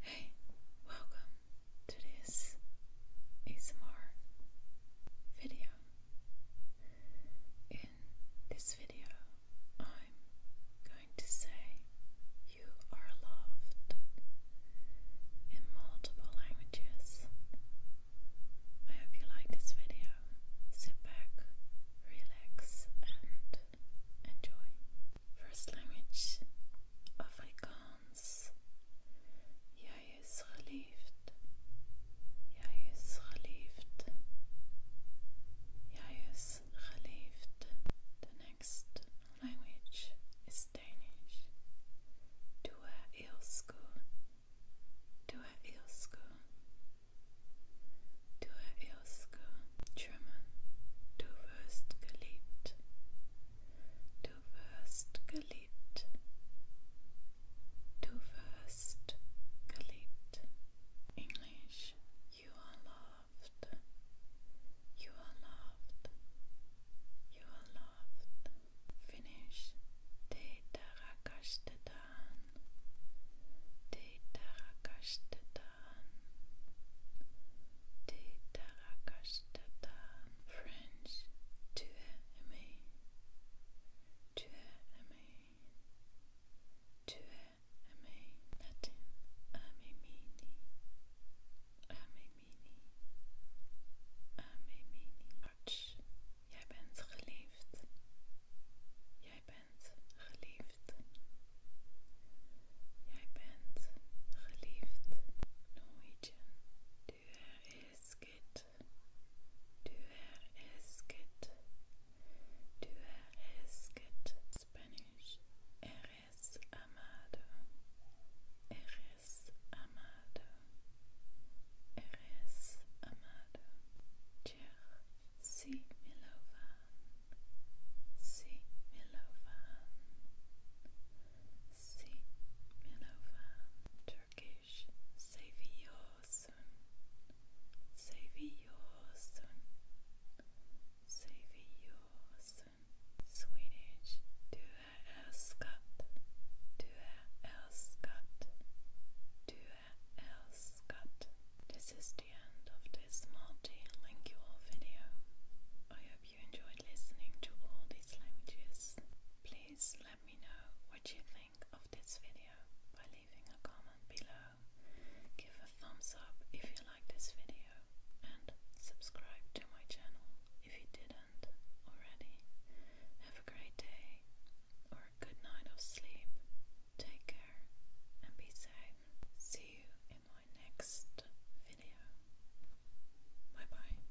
Hey, welcome to this ASMR video. In this video, I'm going to say you are loved in multiple languages. I hope you like this video. Sit back, relax, and enjoy. First language Afrikaans. Jeg er så livet. Jeg er så livet. Jeg The next language is Danish. Du er Du er elsker. Du er elsker, German. Du wirst Du wirst Du wirst English. You are loved. You are loved. You are loved soft finish Tetarakashtadan Tetarakashtadan Tetarakashtadan French Tu aimes Tu aimes Tu aimes Latin Amemini Amemini. Amemini. Arts, jij bent geliefd. Jij bent geliefd. Jij bent geliefd. Norwegian. Du er elsket. Du er elsket. Du er elsket. Spanish. Eres amado, eres amado, eres amado. Jer milovan, si milovan, si milovan. Turkish saviors, Swedish, du är älskat, du är älskat, du är älskat. This is the end of this multilingual video. I hope you enjoyed listening to all these languages. Please let me know what you think of this video by leaving a comment below. Give a thumbs up if you like this video and subscribe to my channel if you didn't already. Have a great day or a good night of sleep. Take care and be safe. See you in my next video. Bye bye.